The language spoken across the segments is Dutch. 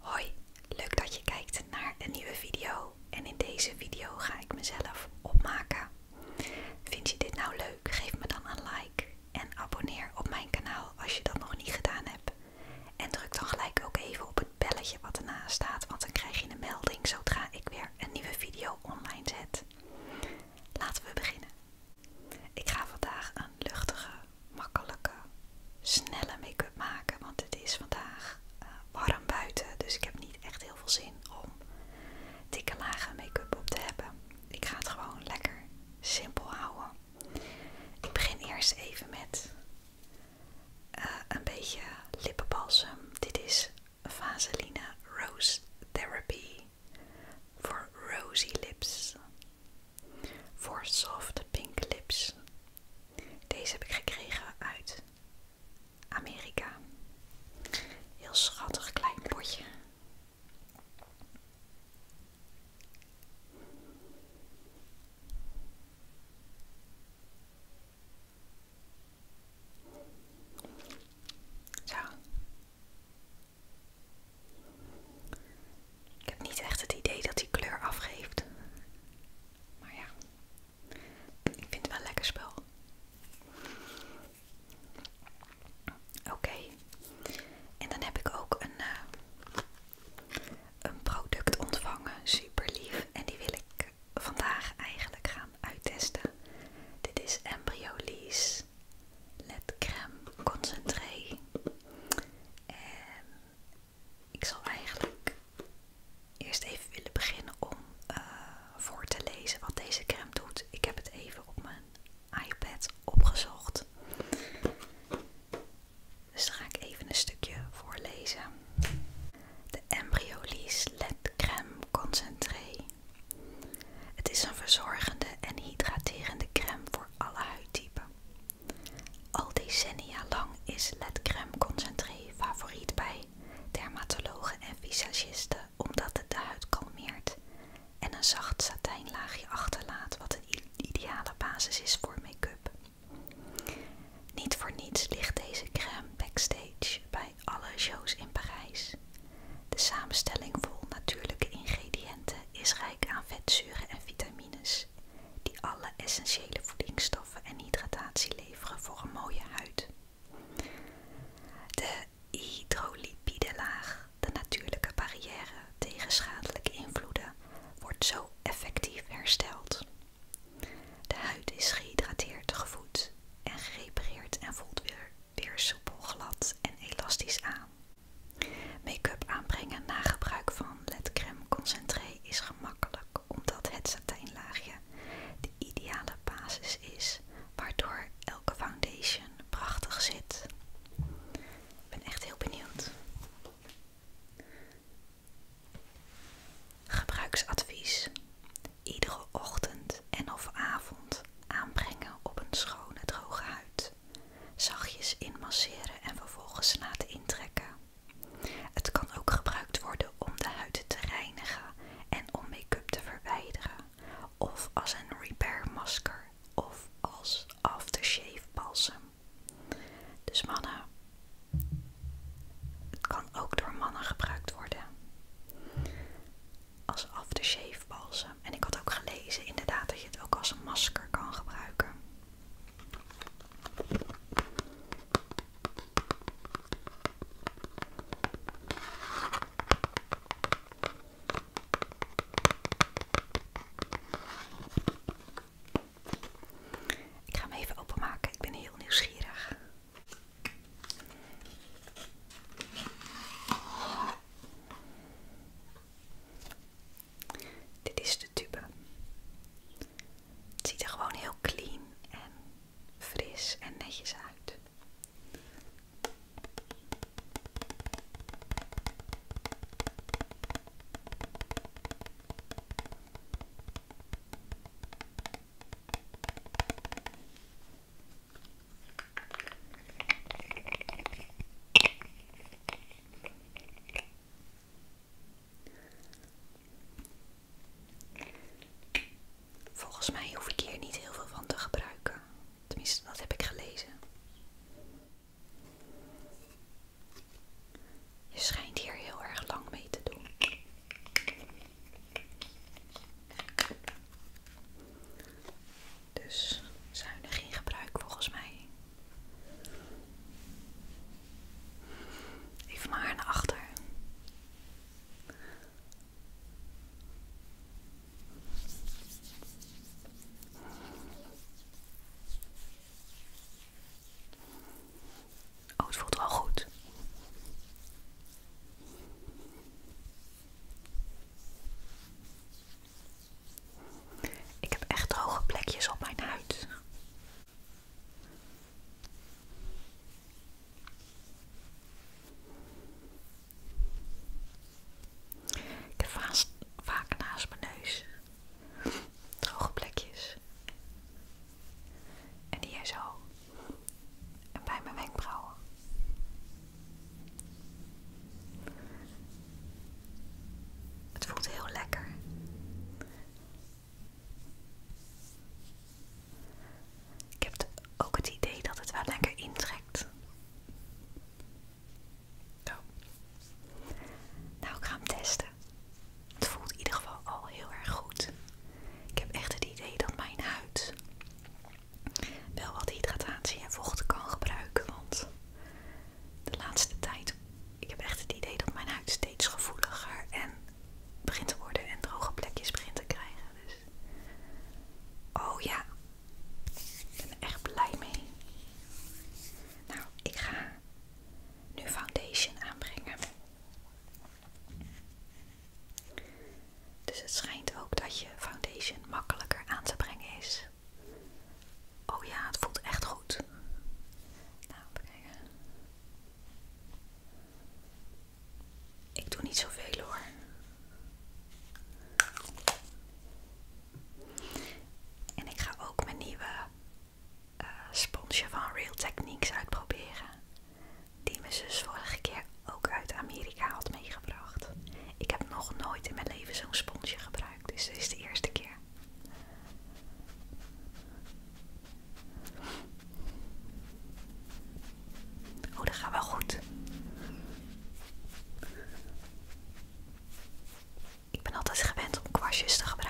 Hoi, leuk dat je kijkt naar een nieuwe video. En in deze video ga ik mezelf opmaken. Vind je dit nou leuk? Geef me dan een like en abonneer op mijn kanaal als je dat nog niet gedaan hebt. En druk dan gelijk ook even op het belletje wat ernaast staat, want dan krijg je een melding zodra ik weer een nieuwe video online zet. Laten we beginnen. Ik ga vandaag een luchtige makkelijke, snelle make-up maken. Want het is vandaag eh, warm buiten, dus ik heb niet echt heel veel zin om dikke lagen make-up op te hebben. Ik ga het gewoon lekker simpel houden. Ik begin eerst even met eh, een beetje lippenbalsem. Dit is Vaseline Rose Therapy voor rosy lips voor Soft Pink Lips. Deze heb ik gekregen uit Amerika. Heel schattig klein potje. Zo. Ik heb niet echt het idee dat hij kleur afgeeft. Maar ja, ik vind het wel een lekker spel. Oké, en dan heb ik ook een, eh, product ontvangen, super lief. En die wil ik vandaag eigenlijk gaan uittesten. Dit is Embryolise LED Crème Concentré. En ik zal eigenlijk eerst even willen beginnen om eh, voor te lezen wat deze crème doet. Ik heb het even op mijn iPad opgezocht. Dus dan ga ik even een stukje voorlezen. De Embryolisse LED Crème Concentré. Het is een verzorgende en hydraterende crème voor alle huidtypen. Al decennia lang is ledcrème concentré favoriet bij dermatologen en visagisten omdat het de huid kalmeert en een zacht satijnlaagje achterlaat wat een ideale basis is voor make-up. Niet voor niets ligt deze crème backstage bij alle shows in Parijs. De samenstelling vol natuurlijke ingrediënten is rijk aan vetzuren en vitamine die alle essentiële voedingsstoffen en hydratatie leveren voor een mooie huid. De hydrolipide laag, de natuurlijke barrière tegen schadelijke invloeden, wordt zo effectief hersteld. De huid is gehydrateerd, gevoed en gerepareerd en voelt weer, weer soepel, glad en elastisch aan. Make-up aanbrengen na gebruik van Creme concentré is gemakkelijk omdat het satijnlaagje de ideale basis is waardoor elke foundation prachtig zit. Ik ben echt heel benieuwd. Gebruiksadvies. Iedere ochtend en of avond aanbrengen op een schone droge huid. Zachtjes inmasseren en vervolgens laten intrekken. Het kan ook gebruikt worden om de huid te reinigen en om make-up te verwijderen. Of als een repair masker of als aftershave balsem. Dus mannen, het kan ook door mannen gebruikt worden. Als aftershave balsem. En ik had ook gelezen inderdaad dat je het ook als masker kan gebruiken. Ik ga hem even openmaken, ik ben heel nieuwsgierig. Dit is de tube. ziet er gewoon heel clean en fris en netjes uit. Volgens mij hoef ik hier niet heel veel van te gebruiken. Tenminste, dat heb ik gelezen. Je schijnt hier heel erg lang mee te doen. Dus er geen gebruik volgens mij. Even maar naar achter. Oh, het voelt wel goed. Ik heb echt droge plekjes op mijn huid. Ik heb vaast, vaak naast mijn neus droge plekjes. En hier zo. En bij mijn wenkbrauwen. Het voelt heel lekker. Ik heb ook het idee dat het wel lekker intrekt. Nou, ik ga hem testen. Het voelt in ieder geval al heel erg goed. Ik heb echt het idee dat mijn huid wel wat hydratatie en vocht kan gebruiken, want de laatste tijd, ik heb echt het idee dat mijn huid steeds gevoeliger en begint te worden en droge plekjes begint te krijgen. Dus. Oh ja, ik ben er echt blij mee. Nou, ik ga nu foundation aanbrengen. Dus het schijnt ook dat je foundation makkelijker aan te brengen is Oh ja, het voelt echt goed. Nou, kijken. Ik doe niet zoveel hoor. En ik ga ook mijn nieuwe eh, sponsje van Real Techniques uitproberen. Die mijn zus vorige keer ook uit Amerika ik had meegebracht. Ik heb nog nooit in mijn leven zo'n sponsje gebruikt, dus dit is de eerste keer. Oh, dat gaat wel goed. Ik ben altijd gewend om kwastjes te gebruiken.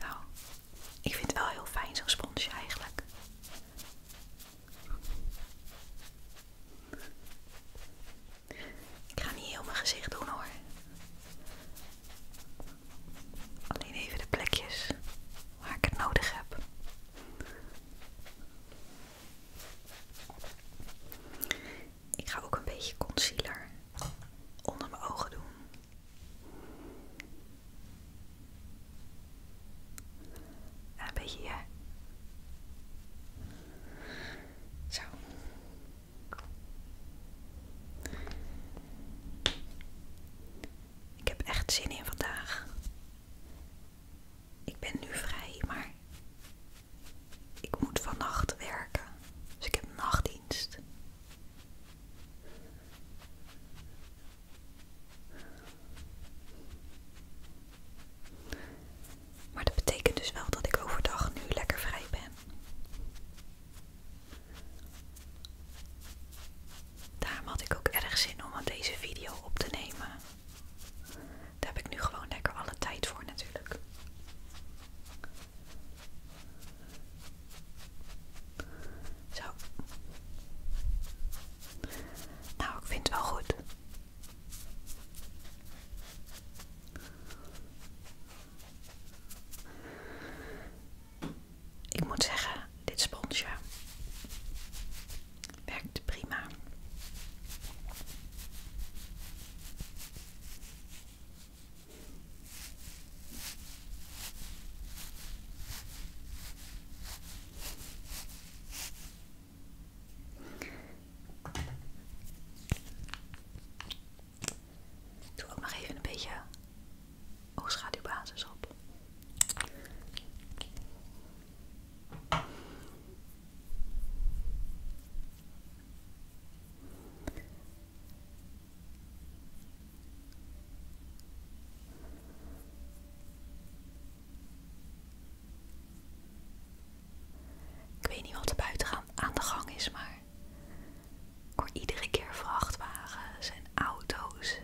Zo. Ik vind het wel heel fijn zo'n sponsje eigenlijk. Ik ga niet heel mijn gezicht doen hoor. Alleen even de plekjes waar ik het nodig heb. Ik ga ook een beetje concealer onder mijn ogen doen. een beetje hier. Zo. Ik heb echt zin in vandaag. Ik ben nu vrij, maar ik moet vannacht werken, dus ik heb nachtdienst. Maar dat betekent dus wel dat ik overdag nu lekker vrij ben. Daarom had ik ook erg zin om aan deze video op te nemen. Daar heb ik nu gewoon lekker alle tijd voor natuurlijk. Zo. Nou, vindt vind wel goed. Ik moet zeggen, dit sponsje werkt prima. Ik Doe ook nog even een beetje oogschaduwbasis op. Ik weet niet wat er buiten aan de gang is, maar ik hoor iedere keer vrachtwagens en auto's.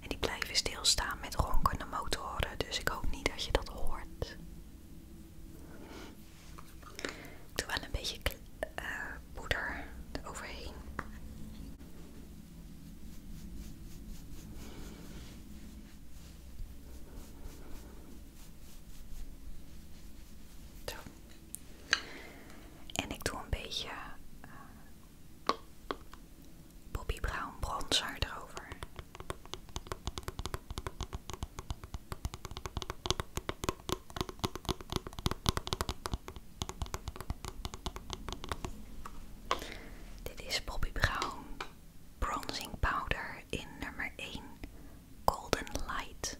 En die blijven stilstaan met ronkende motoren, dus ik hoop niet dat je dat hoort. Doe wel een beetje eh, poeder overheen Zo. En ik doe een beetje uh, Brown bronzer erover. Dit is Bobby Brown Bronzing Powder in nummer 1 Golden Light.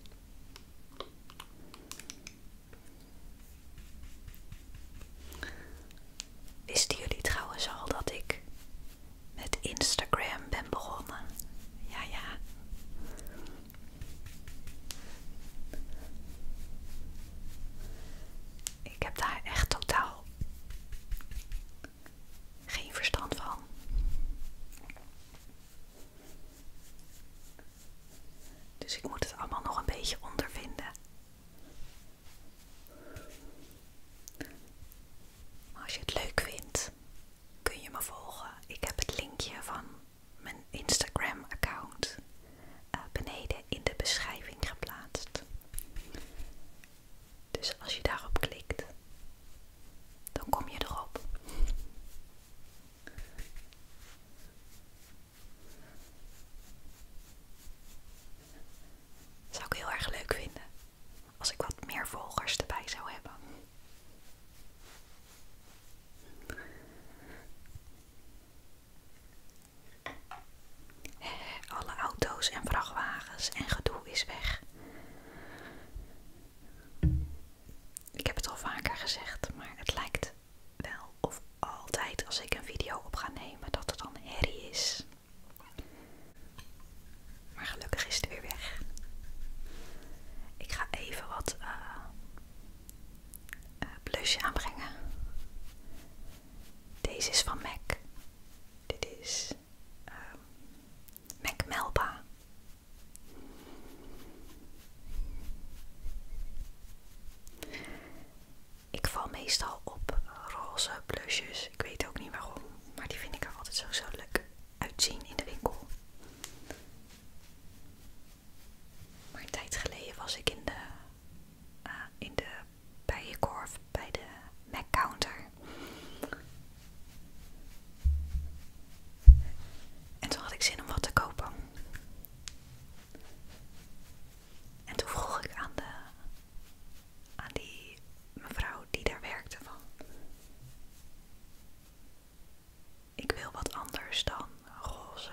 Wisten jullie trouwens al dat ik met Instagram ben begonnen. Ja, ja. Ik heb daar echt totaal geen verstand van. Dus ik moet het allemaal nog een beetje ondervinden. Maar als je het leuk vindt, kun je me volgen. Ik heb het linkje van mijn Instagram-account eh, beneden in de beschrijving geplaatst. Dus als je daarop klikt, dan kom je erop. Zou ik heel erg leuk vinden als ik wat meer volgers erbij zou hebben. Alle auto's en vrachtwagens en gedoe is weg. Ik heb het al vaker gezegd, maar het lijkt wel of altijd als ik een video op ga nemen dat er dan herrie is. Maar gelukkig is het weer weg. Ik ga even wat uh, blusje aanbrengen. Deze is van MAC. Dit is ehm, MAC Melba. Ik val meestal op roze blushjes. Dus ik weet ook niet waarom. Maar die vind ik er altijd zo, zo leuk uitzien in de winkel. Maar een tijd geleden was ik in de, eh, in de bijenkorf bij de Mac counter. En toen had ik zin om wat te kopen. En toen vroeg ik aan de aan die mevrouw die daar werkte van. Ik wil wat anders dan roze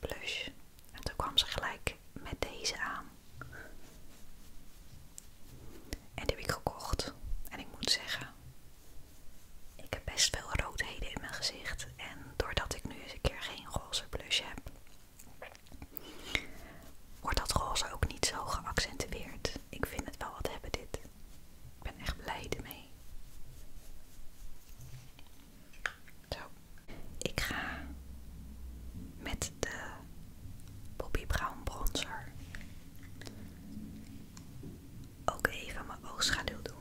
blush. En toen kwam ze gelijk met deze aan. En die heb ik gekocht. En ik moet zeggen, ik heb best veel roodheden in mijn gezicht. En doordat ik nu eens een keer geen roze blush heb, wordt dat roze ook niet zo geaccentueerd. Ik vind het wel wat hebben dit. Ik ben echt blij ermee. Zo. Ik ga met de Poppy Brown bronzer ook even mijn oogschaduw doen.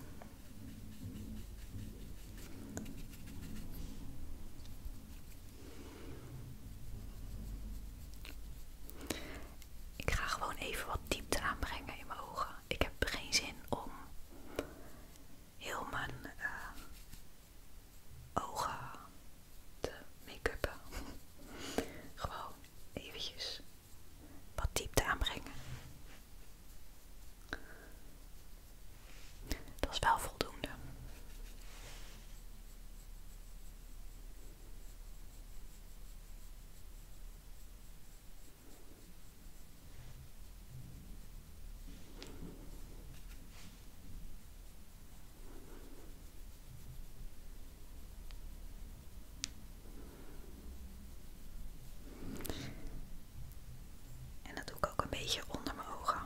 Ik ga gewoon even wat diepte aanbrengen in mijn ogen. Ik heb geen zin om heel mijn eh, ogen te make-uppen. gewoon eventjes wat diepte aanbrengen. Dat is wel voldoende. En dat doe ik ook een beetje onder mijn ogen.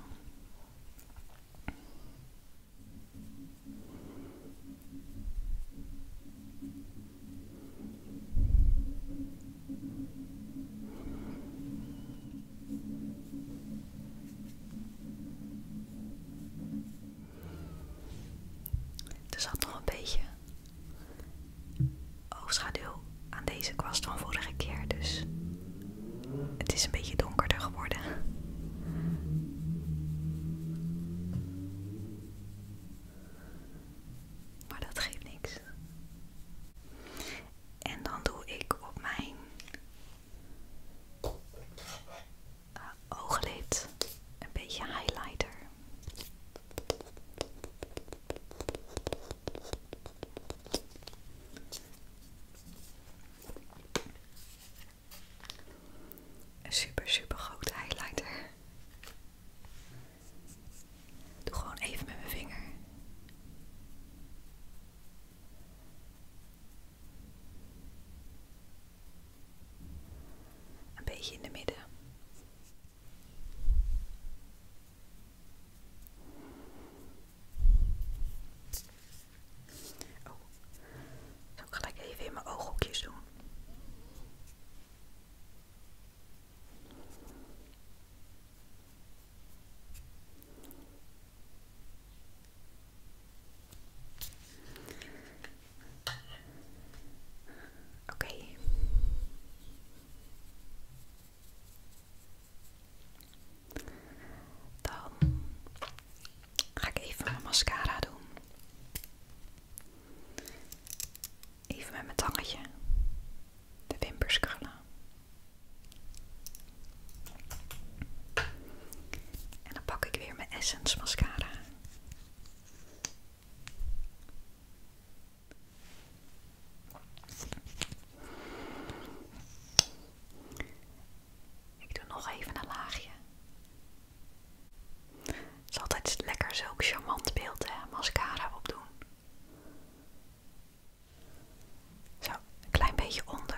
Dus had nog een beetje oogschaduw aan deze kwast van vorige keer, dus het is een beetje donkerder geworden. Maar dat geeft niks. En dan doe ik op mijn eh, ooglid een beetje highlighter. Een super, super grote highlighter. Doe gewoon even met mijn vinger. Een beetje in de midden. Oh, zal ik even in mijn ooghoekjes doen. Oké. Dan ga ik even mijn mascara doen. Even met mijn tangetje de wimpers krullen. En dan pak ik weer mijn Essence mascara. Ik doe nog even een laagje. is altijd lekker zo'n charmant beeld, hè, mascara opdoen. Zo, een klein beetje onder.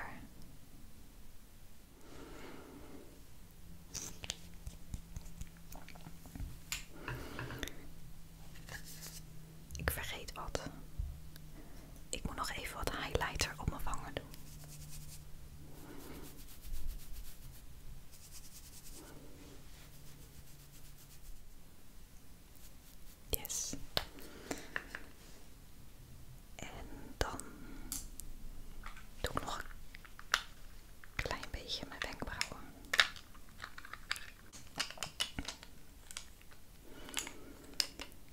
Ik vergeet wat. Ik moet nog even wat highlighter op mijn wangen doen. Yes. En dan doe ik nog een klein beetje mijn wenkbrauwen.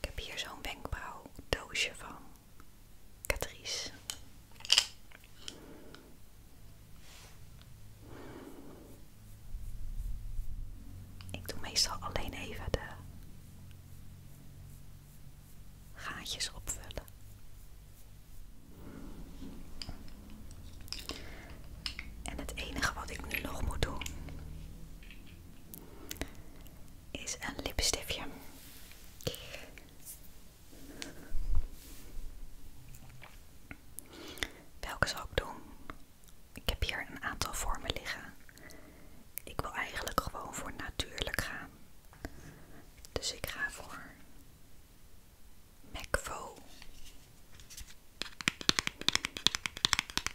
Ik heb hier zo'n wenkbrauwdoosje van Catrice. Ik doe meestal alleen even de gaatjes opvullen. En het enige wat ik nu nog moet doen is een lipstiftje. Welke zal ik doen? Ik heb hier een aantal vormen liggen. Ik wil eigenlijk gewoon voor natuurlijk gaan. Dus ik ga voor McVo.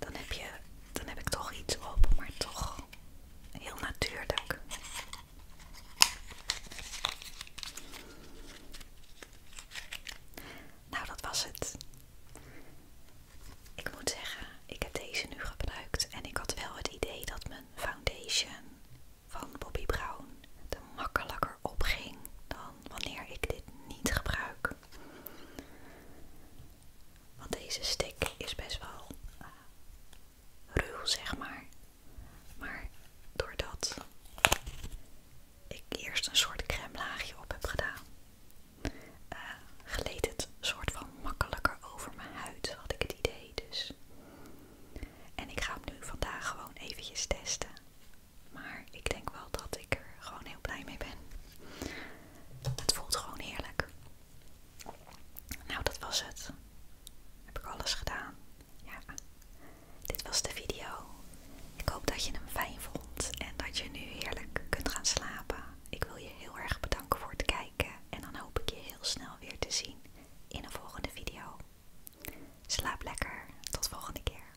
dan heb, je, dan heb ik toch iets op, maar toch heel natuurlijk. Nou, dat was het. Ik moet zeggen, ik heb deze nu gebruikt en ik had wel het idee dat mijn foundation van Bobbi Brown er makkelijker opging dan wanneer ik dit niet gebruik. Want deze stick is best wel eh, ruw, zeg maar. Maar doordat ik eerst een soort crème laagje op heb gedaan, eh, gleed het soort van makkelijker over mijn huid, had ik het idee. Dus. En ik ga hem nu vandaag gewoon eventjes testen. Maar ik denk wel dat ik er gewoon heel blij mee ben. Het voelt gewoon heerlijk. Nou, dat was het. Heb ik alles gedaan? Ja. Dit was de video. Ik hoop dat je hem fijn vond en dat je nu heerlijk kunt gaan slapen. Ik wil je heel erg bedanken voor het kijken en dan hoop ik je heel snel weer te zien in een volgende video. Slaap lekker. Tot volgende keer.